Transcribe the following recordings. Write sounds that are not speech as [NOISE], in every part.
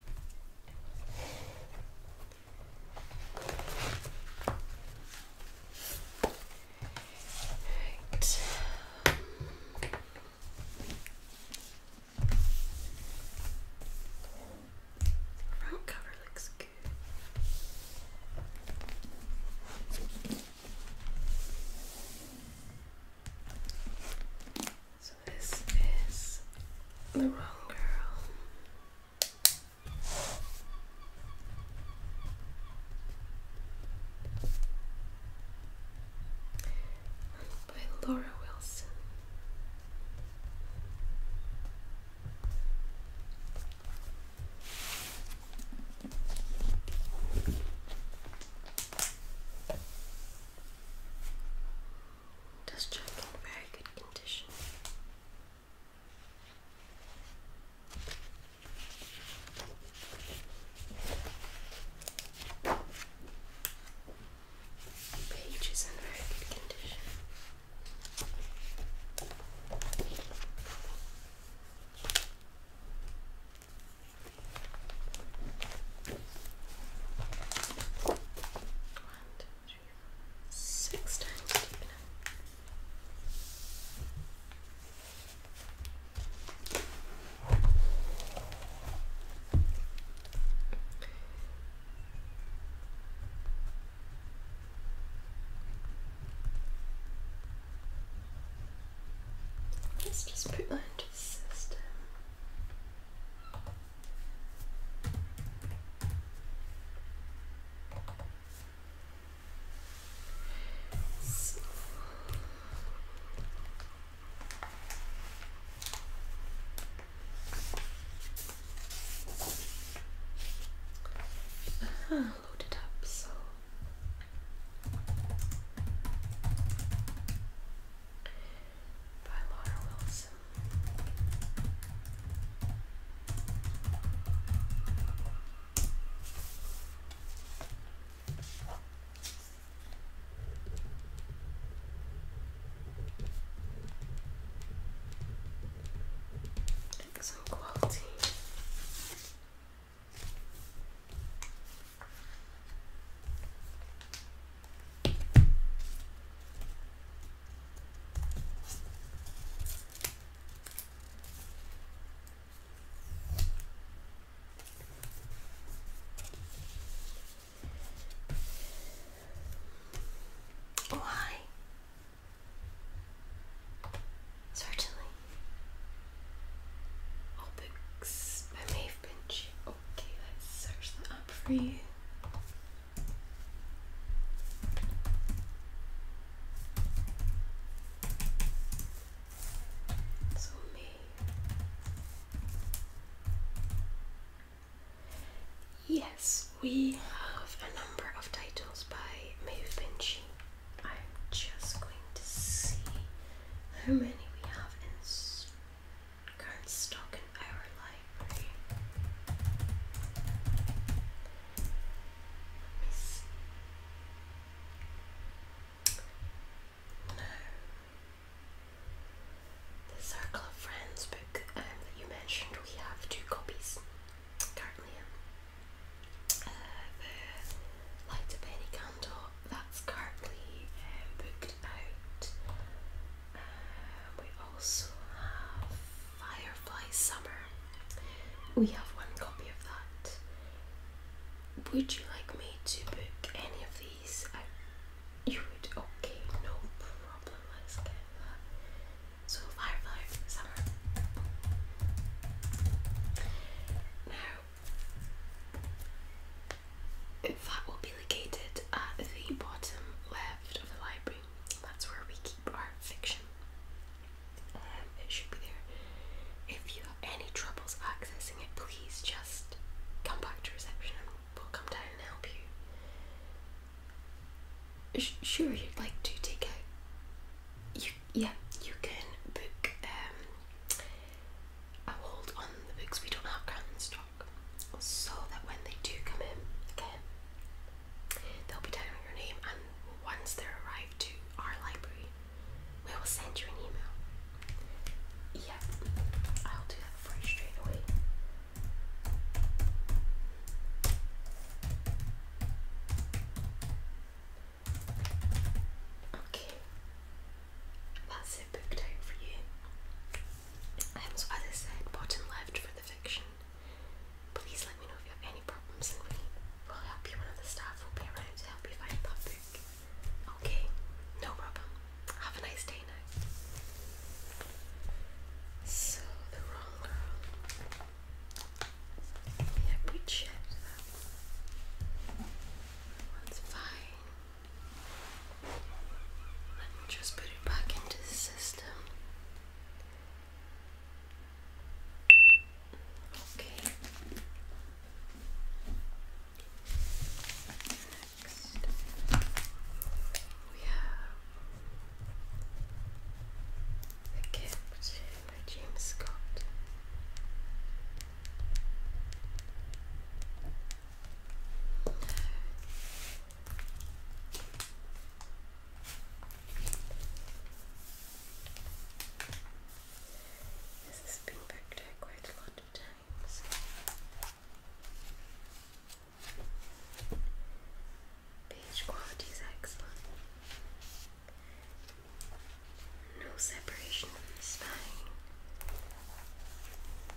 Right. Front cover looks good this is the wrong girl. By Laura Wilson. Does check in very good condition. Page in very good condition. One, two, three, four, six times Let's just put that into the system. So. Uh, load it up so by Laura this. Excellent quality. Oh, hi. Certainly. All books by Mayfair. Benji. Okay, let's search that up for you. So me. Yes, we have a number of titles by Maeve Binchy. I'm just going to see how many we have in cardstock in our library. Let me see. No. The Circle of Friends book um, that you mentioned, we have two copies currently. Uh, the Light a Penny Candle, that's currently uh, booked out we also have Firefly Summer. We have one copy of that. Would you like me to book any of these? you would? Okay, no problem. Let's get that. So, Firefly Summer. Now, that will be located at the bottom left of the library. That's where we keep our fiction. Um, it should be there. If you have any troubles accessing it, please just come back to reception and we'll come down and help you. sure, you'd like to take out. yeah, you can book um, a hold on the books. We don't have grounds so that when they do come in again, they'll be down on your name and once they're to our library, we will send you an email. Yeah, I'll do that for you straight away. Okay, that's so as I said, bottom left for the fiction. Please let me know if you have any problems and we will help you. One of the staff will be around to help you find that book. Okay, no problem. Have a nice day now. So, the wrong girl. Yeah, we checked that. fine and just put it back into the system. Okay. Next, we have The Gift by James Scott. This has been back quite a lot of times. Page quality is excellent. No separation from the spine.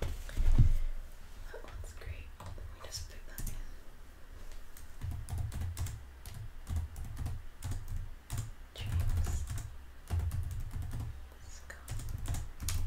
That one's great. Let me just put that in. James Scott. Right.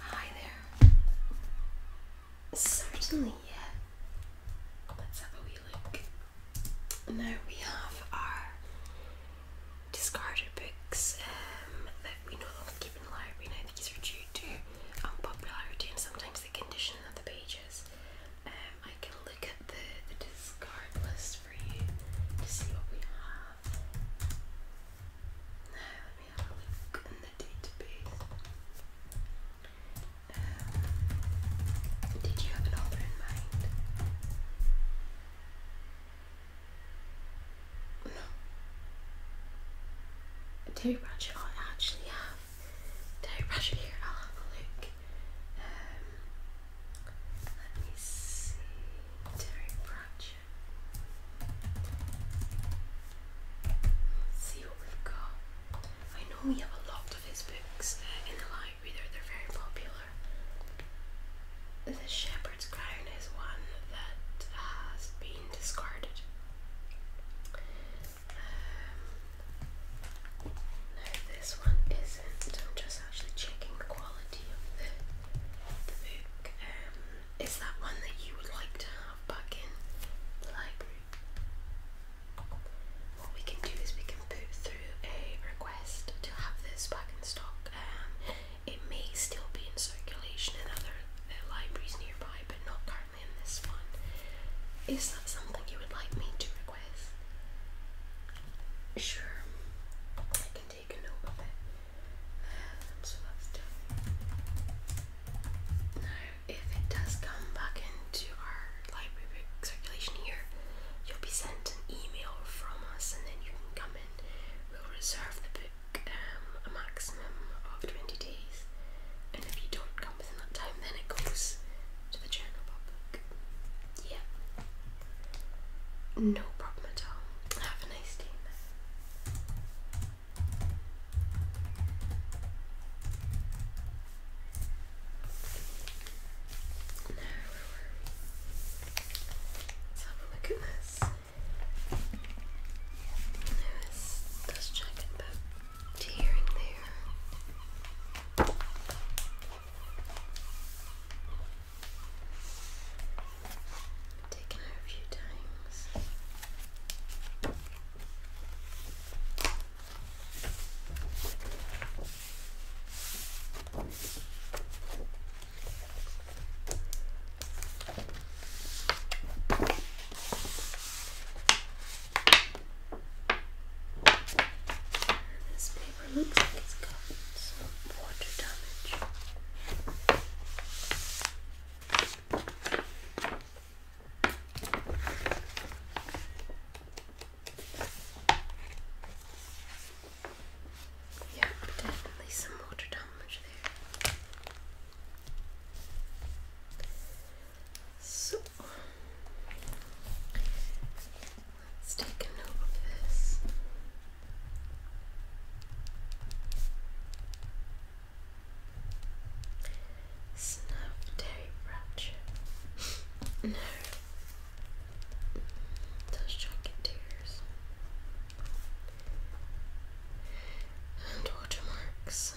Hi there. Certainly, yeah. Let's have a wee look. Now we have our discarded books um, that we no longer keep from these are due to unpopularity um, and sometimes the condition of the pages. Um, I can look at the, the discard list for you to see what we have. Now, let me have a look in the database. Um, did you have an author in mind? No. Terry Bradshaw, I actually have Terry Pratchett. here. I'll have a look. Um, let me see. Terry Bradshaw. see what we've got. I know we have a lot of his books uh, in the library, they're, very popular. The Ship leopard's crown is one that has been discarded. Um, this one isn't. I'm just actually checking the quality of the, book. Um, is that one that you would like to have back in the library? What we can do is we can put through a request to have this back in stock. Um, it may still be in circulation in other uh, libraries nearby, but not currently in this one. Is that something you would like me to request? Sure, I can take a note of it. Um, if it does come back into our library circulation here, you'll be sent an email from us, and then you can come in. We'll reserve the book um, a maximum of 20 days, and if you don't come within that time, then it goes to the general public. Yeah. No problem at all. Have a nice day. Now, where Let's have a look at this. Lewis does check tearing there. Taken out a few times. This paper looks like it's got some water damage. Yeah, definitely some water damage there. So let's take note of this. Snuff Terry Pratchett. [LAUGHS] no. Those jacket tears and watermarks.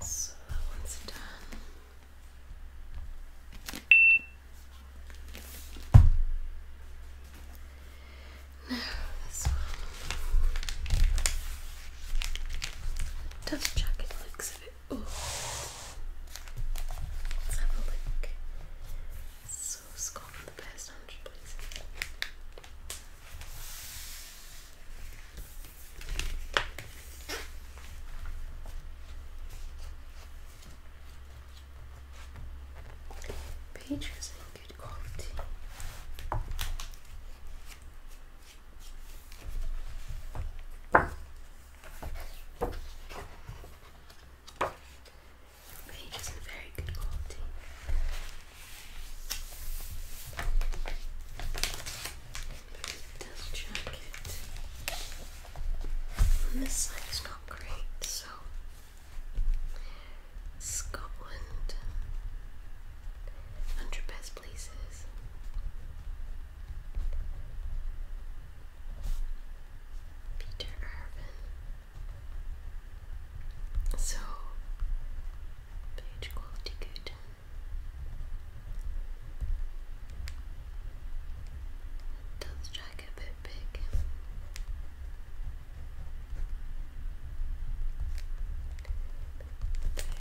So that one's done. Now this one. Double check it looks a bit old. Let's have a look. So Scotland the best hundred places. Pages in good quality. Pages in very good quality this jacket. this side is not great, so Scotland, hundred best places. Peter Irvin. So, page quality good. It does drag bit big.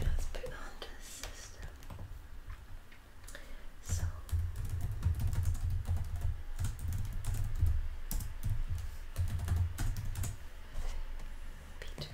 let's put that the system. So Peter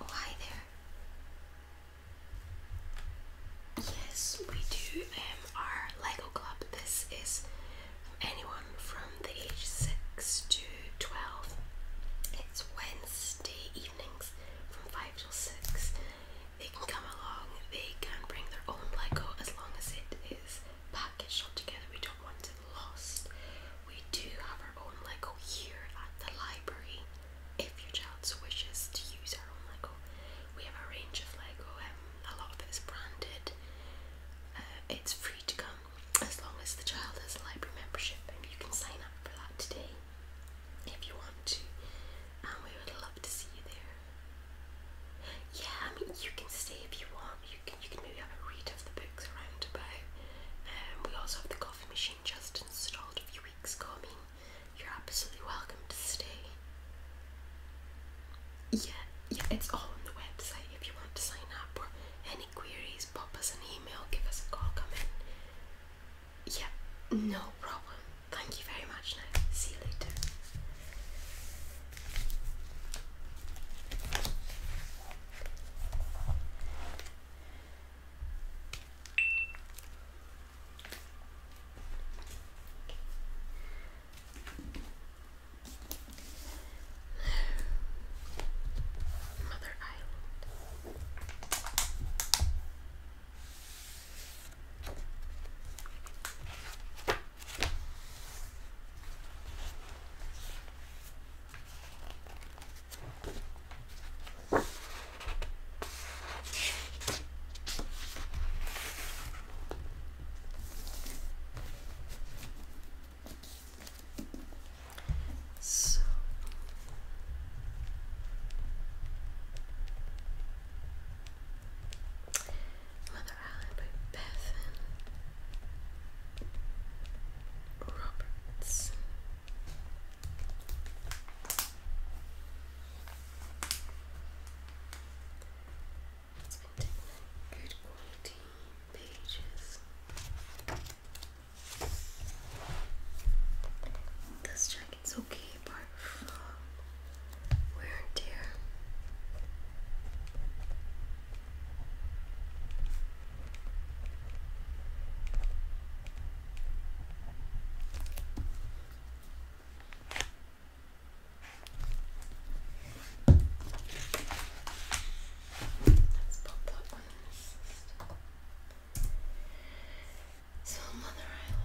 Oh, hi there. Yes, we do um, our Lego Club. This is anyone from the age 6 to 12. It's Wednesday evenings from 5 till 6. They can come along, they can bring their own Lego as long as it is packaged together. We don't want it lost. We do have our own Lego here at the library if your child so wishes to use our own Lego, we have a range of Lego. Um, a lot of it is branded. Uh, it's free to come as long as the child has a library membership, and you can sign up for that today if you want to. And um, we would love to see you there. Yeah, I mean you can stay if you want. You can you can maybe have a read of the books around about. Um, we also have the coffee machine just installed a few weeks ago. I you're absolutely welcome to stay. Yeah, yeah, it's all on the website if you want to sign up or any queries, pop us an email, give us a call, come in. Yeah, no problem. Thank you very much now. See you later. Mother Island. So Mother Allen by Bethan Robertson good quality pages. This jacket's okay apart wear and tear. Let's pop that one in the system. So, Mother Island.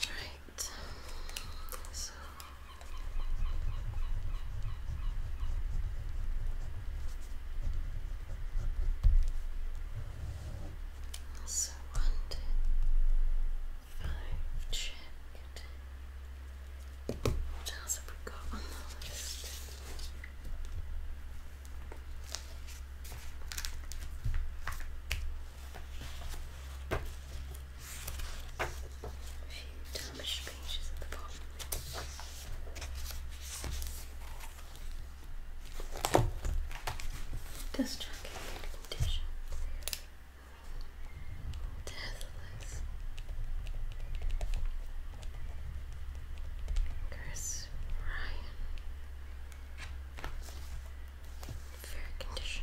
Right. So. So one, two, five, what else have we got on the list? A few damaged pages at the bottom. Just checking condition. Deathless. Chris Ryan. Fair condition.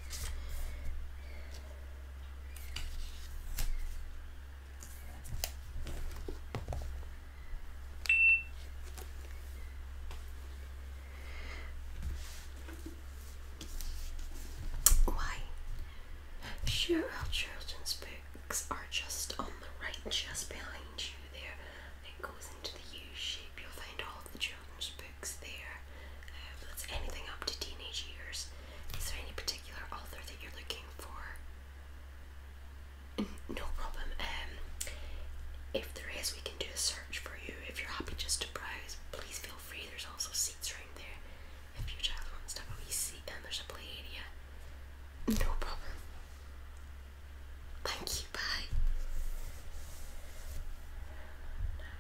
Why? Sure, our children's books are just on the right, just behind you there. It goes into the U shape. You'll find all of the children's books there. that's um, anything up to teenage years. Is there any particular author that you're looking for? Mm, no problem. Um, if there is, we can do a search for you. If you're happy just to browse, please feel free. There's also seats around there. If your child wants to have a wee seat, and there's a play area. No problem. Thank you. Bye.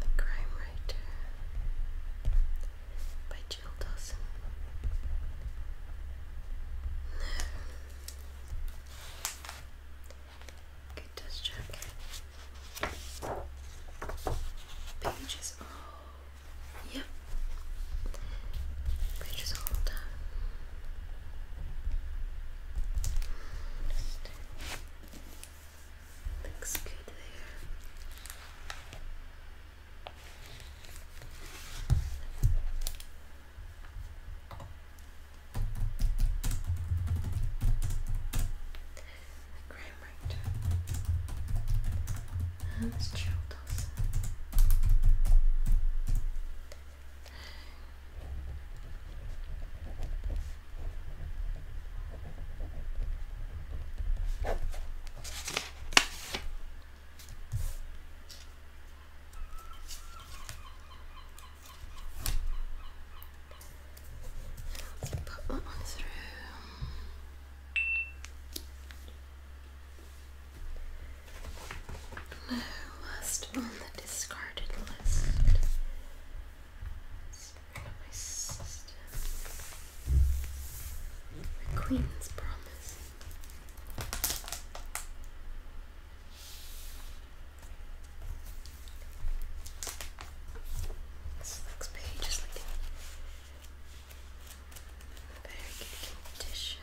The Crime Writer by Jill Dawson. Good dust jacket. Pages all. Yep. Pages all done. Looks good there. Graham oh, Dawson. Put that one through. Now, last on the discarded list my sister, The Queen's Promise. This next page is like in very good condition.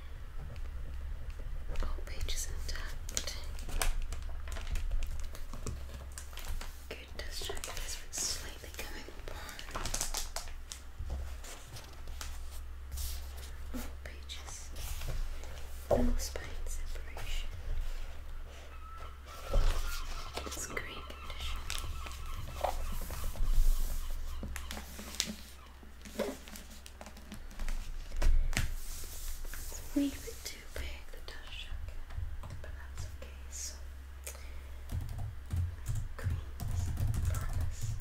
Whole page intact. Good dust slightly coming apart. All pages. No spine separation. It's great condition. It's a wee bit too big, but that's okay. So, Promise by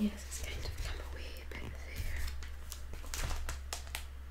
Yes, it's kind of come away a bit there.